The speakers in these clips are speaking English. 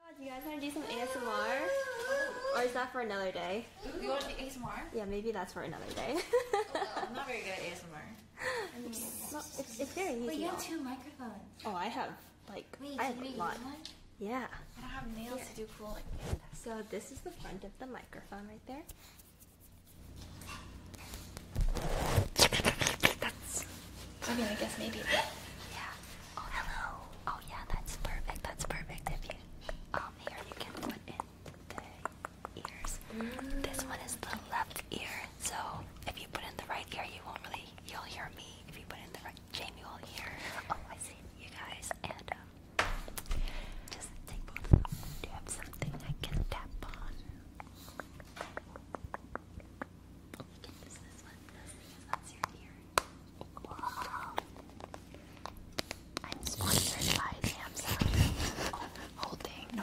Oh, do you guys want to do some ASMR? Or is that for another day? You want to do ASMR? Yeah, maybe that's for another day. Oh, I'm not very good at ASMR. it's, very easy. But you have two microphones. Oh, I have like I have a lot. Yeah. I don't have nails to do cool like that. So this is the front of the microphone right there. That's. I mean, I guess maybe. yeah. Oh, hello. Oh, yeah, that's perfect. That's perfect. If you, um, here you can put in the ears. This one is the left ear, so if you put in the right ear, you won't really, you'll hear me. If you put in the right, Jamie will hear. Oh, I see you guys. And, um, just take Do you have something I can tap on? this one because I'm sponsored by Samsung. holding. my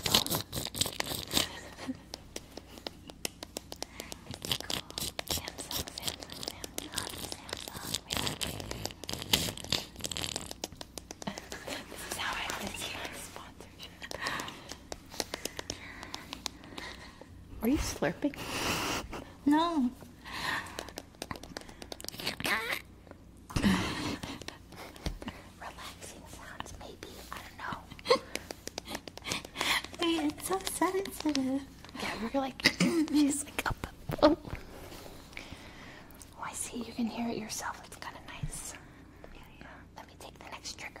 phone? this is how I was here. Are you slurping? No. Relaxing sounds, maybe. I don't know. Wait, it's so sensitive. Yeah, we're like, she's like oh, I see. You can hear it yourself. It's kind of nice. Yeah, yeah. Let me take the next trigger.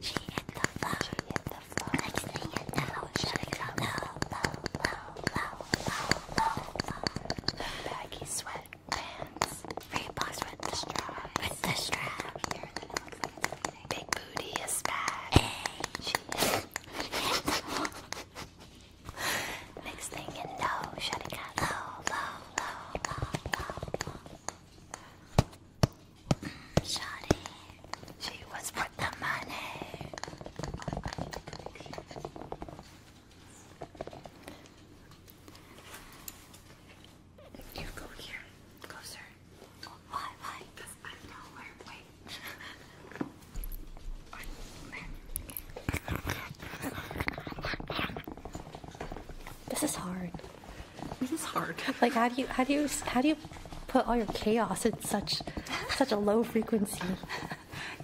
She hit the floor. Next thing you know, she's low, low, low, low, low, low, low. Baggy sweatpants. Reeboks with the strap. With the strap. Big booty is back. Next thing you know, shut it got low, Shawty, she was worth the money. You go here, closer. why, Because I'm nowhere. Wait. This is hard. This is hard. Like how do you how do you how do you put all your chaos at such such a low frequency?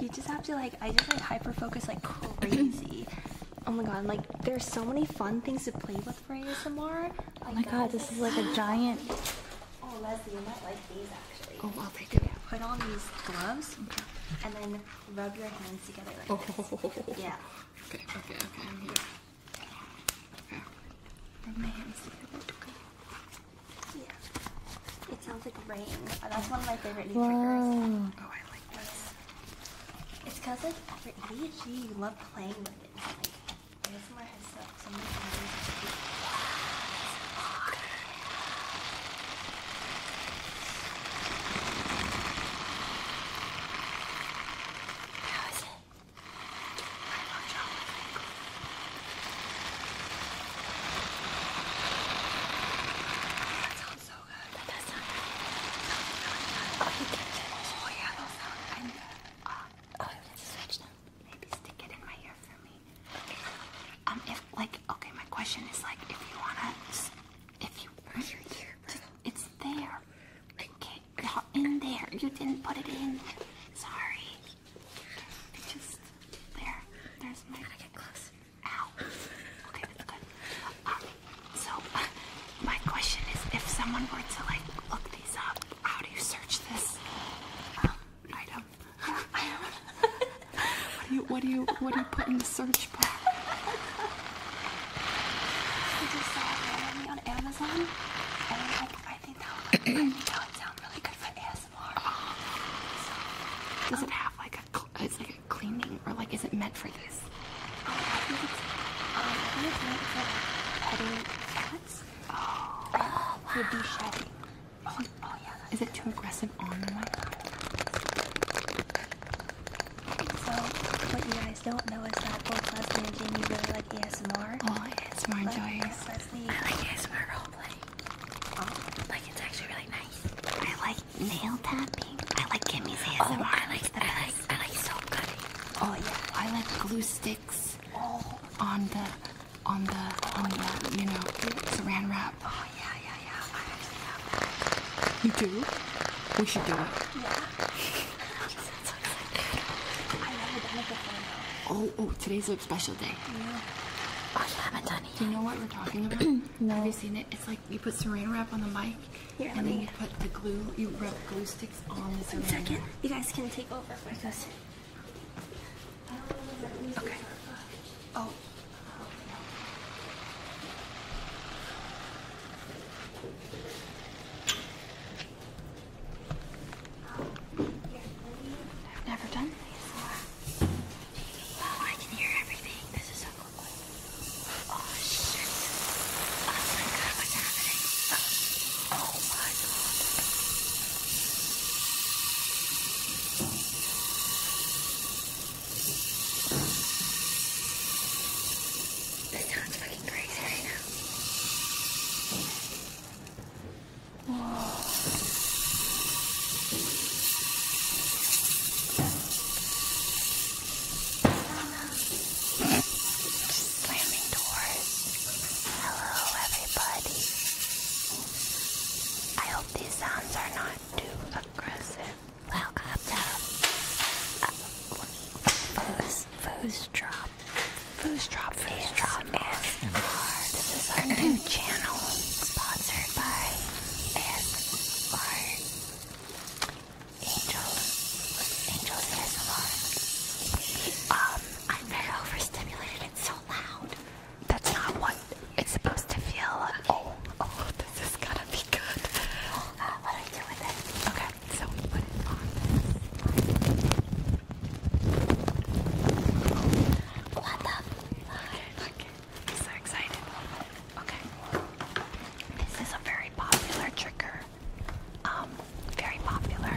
You just have to like I just like hyper focus like crazy. oh my god, like there's so many fun things to play with for ASMR. Oh my god, this is like a giant Oh Leslie, you might like these actually. Oh well they do. Yeah, put on these gloves and then rub your hands together oh. Yeah. Okay, okay, okay, Yeah. It sounds like rain. that's one of my favorite new Whoa. Oh, I like this. It's because, like, for ADHD, you love playing with it. How is it? I love chocolate That sounds so good. That Sounds really good. Oh, you can uh, Oh yeah, those sound kind of good. oh, you can switch them. Maybe stick it in my ear for me. Um, if like, okay, my question is like, if you wanna if you put your ear, it's there. Okay, not in there. You didn't put it in. Sorry. It's just there. There's my. Gotta get close. Okay, um, so, my question is, if someone were to like look these up, how do you search this um, item? What do you what do you what do you put in the search bar? I just saw it on Amazon and I'm like, I think that would, I think that would sound really good for ASMR. Oh. So, does um, it have like a it's like a cleaning or like is it meant for this? Um, I think it's um I think it's meant for like petting cats. Oh, uh, wow. would be shedding. Oh, oh, yeah. Is it too aggressive on my podcast? So, what you guys don't know is that both Leslie and Jamie really like ASMR. Oh, ASMR enjoyers. Leslie. I like ASMR roleplay. Oh. Like, it's actually really nice. I like nail tapping. I like Kimmy's ASMR. I oh, like, the I like, I like so good. Oh, yeah. I like glue sticks oh. on the, on the, on the, you know, saran wrap. Oh, yeah, yeah, yeah. I actually have You do? We should do it. Yeah. Oh, oh, today's a special day. Yeah. Oh, you haven't done it. Do you know what we're talking about? Have you seen it? It's like you put saran wrap on the mic, Here, and then you put the glue, you rub glue sticks on the saran wrap. You guys can take over for this. Okay. Oh. I've never done these. Wow, oh, I can hear everything. This is so cool. Oh, oh my god, what's happening? Oh, oh my god. This sounds fucking crazy right now. Slamming doors. Hello, everybody. I these sounds are not too aggressive. Welcome to Foos Foos Drop. Foos Drop Foos This is our new channel sponsored by ASMR Angel. Angel ASMR. Um, I'm very overstimulated. It's so loud. That's not what it's supposed to feel. Like. Oh, oh this is gonna be good. what do I do with it? Okay, so we What the fuck? Okay. so excited. Okay. This is a very popular trigger. Um, very popular.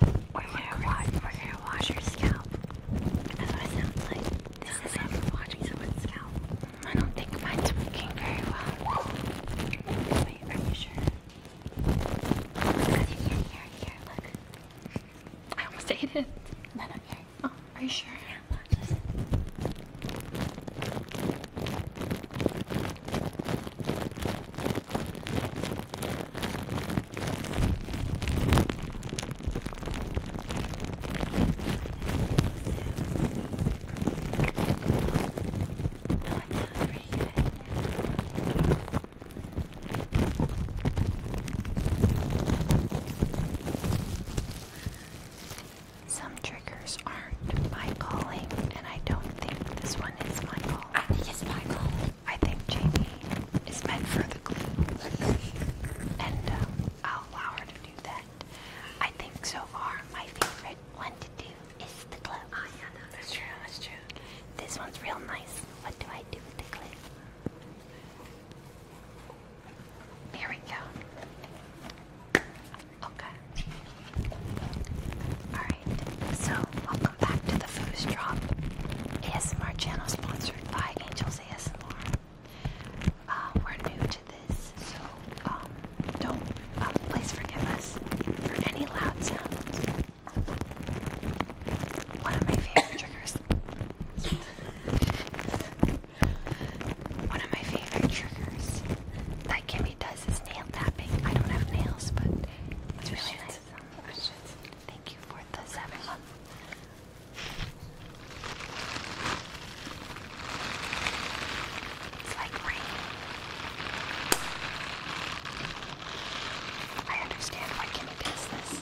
We're gonna wash. We're gonna wash your scalp. That's what it sounds like. This is like watching someone's scalp. I don't think mine's working very well. Wait, are you sure? Because you can hear it here. Look. I almost ate it. No, no, here. Oh, are you sure? Some triggers aren't my calling, and I don't think this one is my call. I think it's my calling. I think Jamie is meant for the glue, and uh, I'll allow her to do that. I think so far my favorite one to do is the glue. Oh yeah, that's true, that's true. This one's real nice. What do I do with the glue? Here we go. Okay. Alright, so back to the Foos Drop ASMR channel sponsored by Angels ASMR. Uh, we're new to this, so um, don't, uh, please forgive us for any loud sounds. One of my favorite triggers. One of my favorite triggers that Kimmy does is nail tapping. I don't have nails, but it's really nice. Oh, Thank you for the seven It's like rain. I understand why Kimmy does this.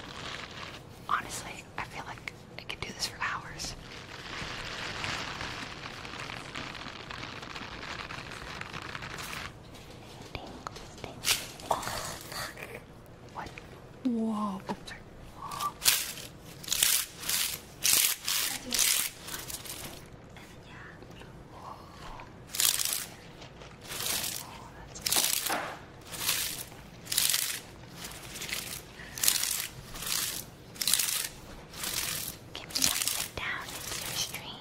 Honestly, I feel like I could do this for hours. Tingles, tingles, tingles. What? Whoa. Oh, sorry. Whoa. Whoa. Oh, that's good. Give me one sit down, it's your stream.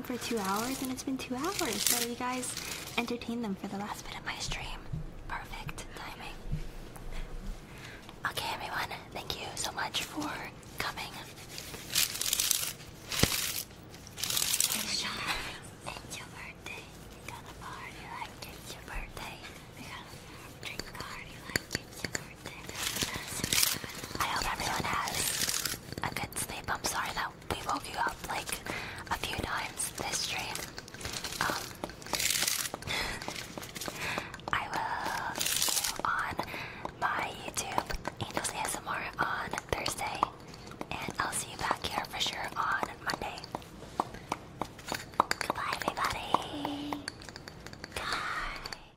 for two hours, and it's been two hours. So you guys entertain them for the last bit of my stream. Perfect timing. Okay, everyone, thank you so much for coming. I hope everyone has a good sleep. I'm sorry that we woke you up like a few times this stream. Um, I will see you on my YouTube, Angels ASMR, on Thursday, and I'll see you back here for sure on Monday. Goodbye, everybody. Bye.